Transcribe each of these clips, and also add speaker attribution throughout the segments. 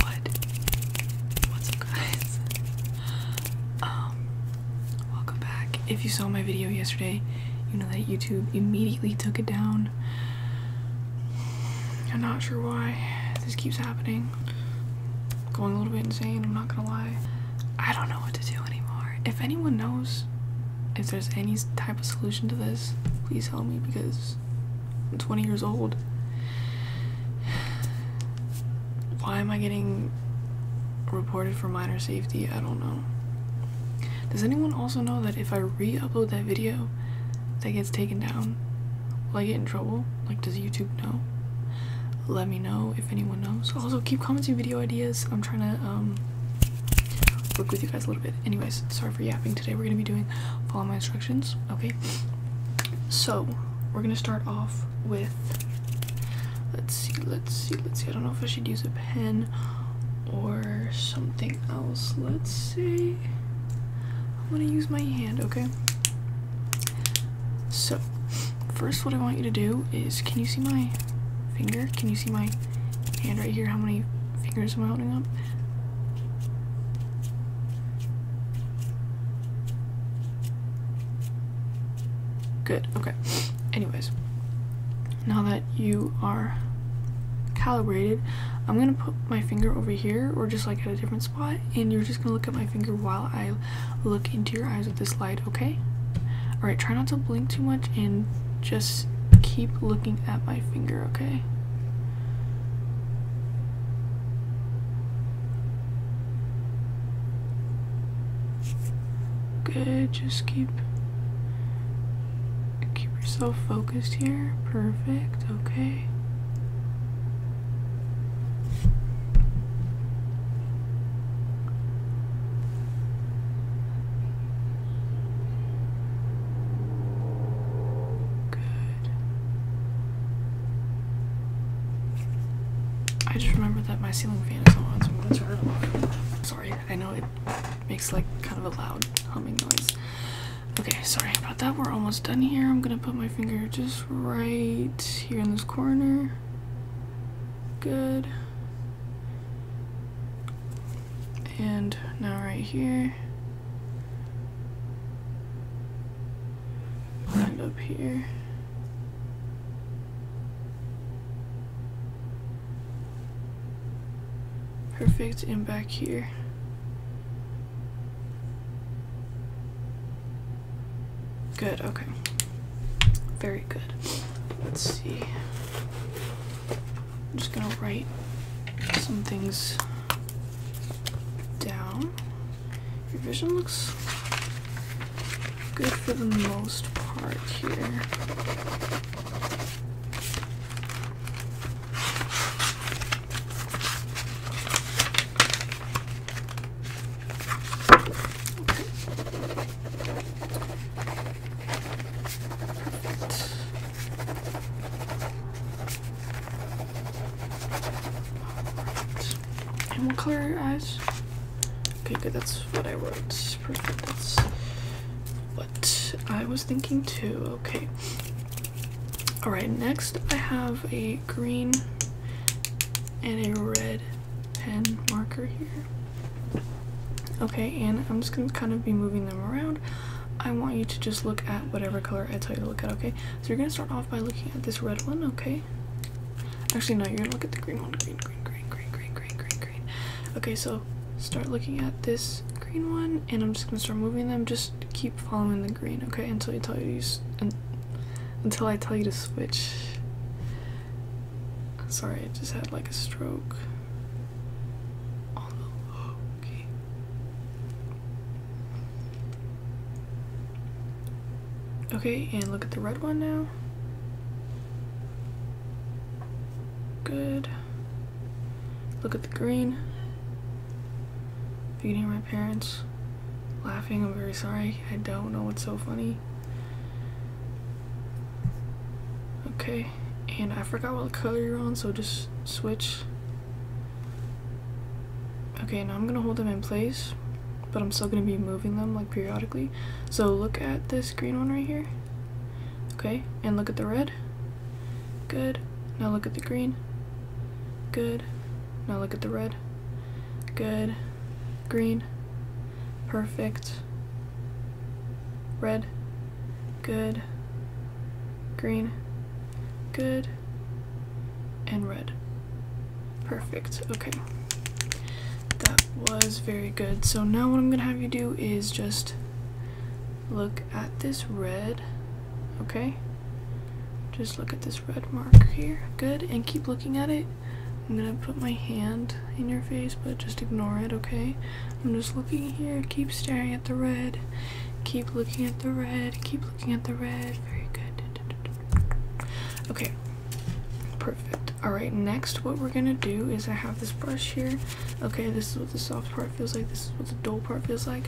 Speaker 1: What? What's up guys? Um, welcome back. If you saw my video yesterday, you know that YouTube immediately took it down. I'm not sure why this keeps happening. going a little bit insane, I'm not gonna lie. I don't know what to do anymore. If anyone knows if there's any type of solution to this, please help me because 20 years old. Why am I getting reported for minor safety? I don't know. Does anyone also know that if I re upload that video that gets taken down, will I get in trouble? Like, does YouTube know? Let me know if anyone knows. Also, keep commenting video ideas. I'm trying to um, work with you guys a little bit. Anyways, sorry for yapping today. We're gonna be doing follow my instructions. Okay. So we're gonna start off with let's see, let's see, let's see. I don't know if I should use a pen or something else. Let's see. i want to use my hand, okay? So first what I want you to do is can you see my finger? Can you see my hand right here? How many fingers am I holding up? Good, okay. Anyways, now that you are calibrated, I'm gonna put my finger over here or just like at a different spot and you're just gonna look at my finger while I look into your eyes with this light, okay? Alright, try not to blink too much and just keep looking at my finger, okay? Good, just keep keep yourself focused here. Perfect, okay. Good. I just remember that my ceiling fan is on, so I'm gonna turn it off. Sorry, I know it makes like kind of a loud humming noise. Okay, sorry about that. We're almost done here. I'm gonna put my finger just right here in this corner. Good and now right here and up here perfect and back here good okay very good let's see I'm just gonna write some things down. Your vision looks good for the most part here. Right. And color your eyes? Okay, good. That's what I wrote. Perfect. That's what I was thinking too. Okay. All right. Next, I have a green and a red pen marker here. Okay, and I'm just gonna kind of be moving them around I want you to just look at whatever color I tell you to look at, okay? So you're gonna start off by looking at this red one, okay? Actually, no, you're gonna look at the green one. Green, green, green, green, green, green, green, green. Okay, so start looking at this green one, and I'm just gonna start moving them. Just keep following the green, okay? Until you tell you, until I tell you to switch. Sorry, I just had like a stroke. on Okay, and look at the red one now. Good. Look at the green. If you hear my parents laughing, I'm very sorry. I don't know what's so funny. Okay, and I forgot what color you're on, so just switch. Okay, now I'm gonna hold them in place, but I'm still gonna be moving them like periodically. So look at this green one right here. Okay, and look at the red. Good. Now look at the green. Good. Now look at the red. Good. Green. Perfect. Red good, green, good, and red. Perfect, okay. That was very good. So now what I'm gonna have you do is just look at this red, okay? Just look at this red mark here, good, and keep looking at it. I'm gonna put my hand in your face, but just ignore it, okay? I'm just looking here, keep staring at the red, keep looking at the red, keep looking at the red. Very good. Okay, perfect. Alright, next, what we're gonna do is I have this brush here. Okay, this is what the soft part feels like, this is what the dull part feels like.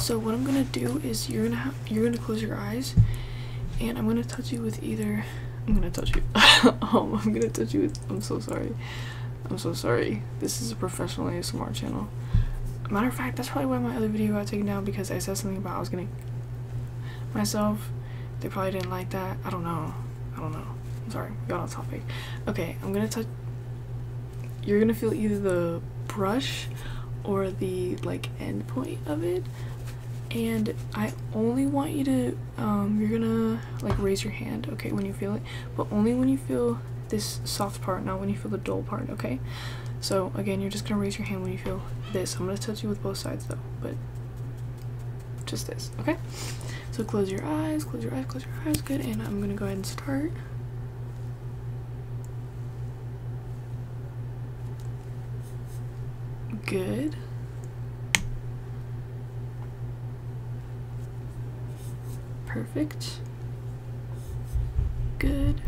Speaker 1: So, what I'm gonna do is you're gonna, you're gonna close your eyes and I'm gonna touch you with either. I'm gonna touch you. Oh, I'm gonna touch you I'm so sorry. I'm so sorry. This is a professional ASMR channel. Matter of fact, that's probably why my other video got taken down because I said something about I was getting myself. They probably didn't like that. I don't know. I don't know. I'm sorry. Got on topic. Okay, I'm gonna touch. You're gonna feel either the brush or the like end point of it and I only want you to um, you're gonna like raise your hand okay when you feel it but only when you feel this soft part, not when you feel the dull part, okay? So again, you're just gonna raise your hand when you feel this. I'm gonna touch you with both sides though, but just this, okay? So close your eyes, close your eyes, close your eyes, good, and I'm gonna go ahead and start. Good. Perfect. Good.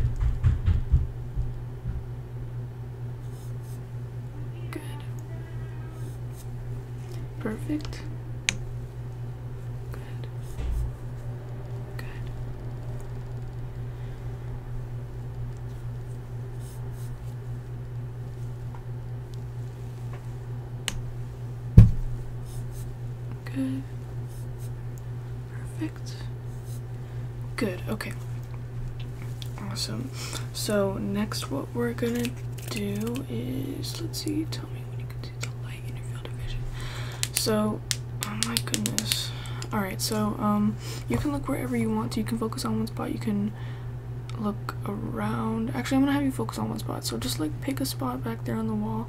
Speaker 1: Good. Perfect. Good. Good. Good. Perfect. Good, okay. Awesome. So next what we're gonna do is, let's see, tell me when you can see the light in your field of vision. So, oh my goodness. Alright, so um, you can look wherever you want to. You can focus on one spot. You can look around. Actually, I'm gonna have you focus on one spot. So just like pick a spot back there on the wall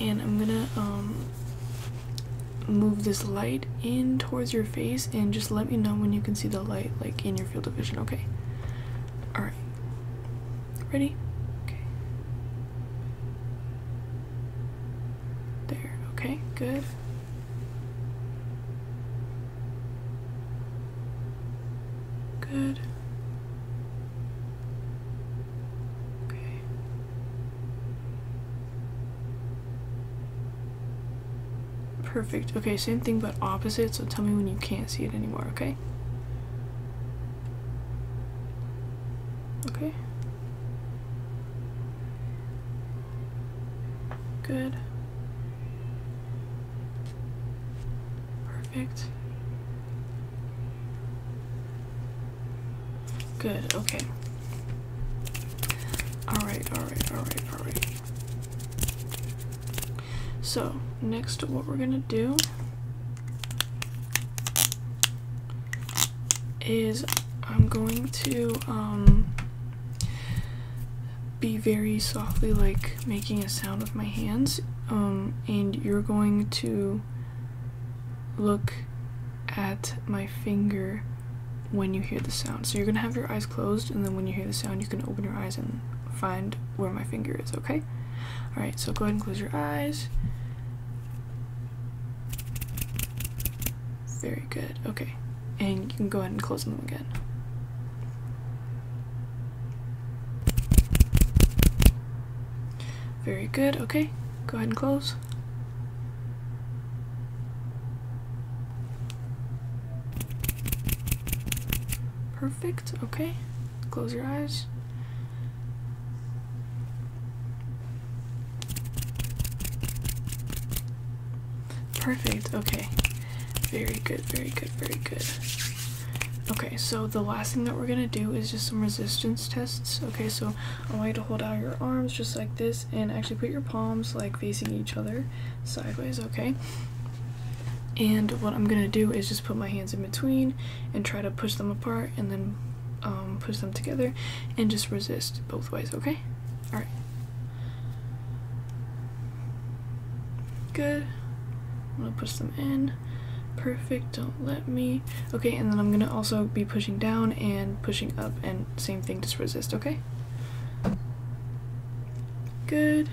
Speaker 1: and I'm gonna um, move this light in towards your face and just let me know when you can see the light like in your field of vision okay all right ready okay there okay good good Okay. Perfect. Okay, same thing but opposite, so tell me when you can't see it anymore, okay? Okay. Good. Perfect. Good, okay. Alright, alright, alright, alright. So, next, what we're gonna do is I'm going to um, be very softly, like making a sound with my hands, um, and you're going to look at my finger when you hear the sound. So you're gonna have your eyes closed, and then when you hear the sound, you can open your eyes and find where my finger is, okay? Alright, so go ahead and close your eyes. Very good, okay. And you can go ahead and close them again. Very good, okay. Go ahead and close. Perfect, okay. Close your eyes. Perfect, okay. Very good, very good, very good. Okay, so the last thing that we're gonna do is just some resistance tests. Okay, so I want you to hold out your arms just like this and actually put your palms like facing each other sideways, okay? And what I'm gonna do is just put my hands in between and try to push them apart and then um, push them together and just resist both ways, okay? Alright. Good. I'm gonna push them in. Perfect, don't let me. Okay, and then I'm gonna also be pushing down and pushing up and same thing, just resist, okay? Good.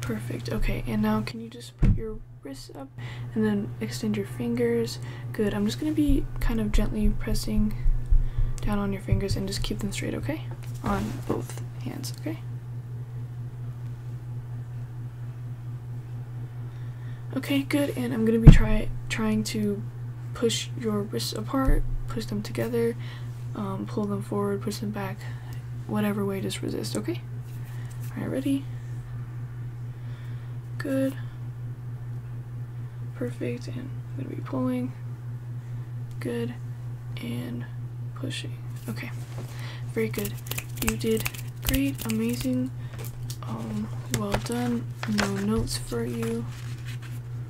Speaker 1: Perfect, okay, and now can you just put your wrists up and then extend your fingers? Good, I'm just gonna be kind of gently pressing down on your fingers and just keep them straight, okay? On both hands, okay? Okay, good, and I'm going to be try trying to push your wrists apart, push them together, um, pull them forward, push them back, whatever way, just resist, okay? Alright, ready? Good. Perfect, and I'm going to be pulling. Good and pushing. Okay, very good. You did great, amazing, um, well done. No notes for you.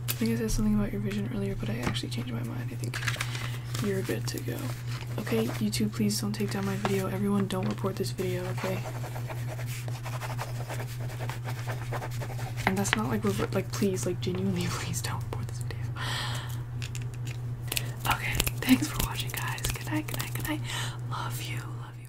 Speaker 1: I think I said something about your vision earlier, but I actually changed my mind. I think you're good to go. Okay, YouTube, please don't take down my video. Everyone, don't report this video, okay? And that's not like, like, please, like, genuinely, please don't report this video. Okay, thanks for watching, guys. Good night, good night, good night. Love you, love you.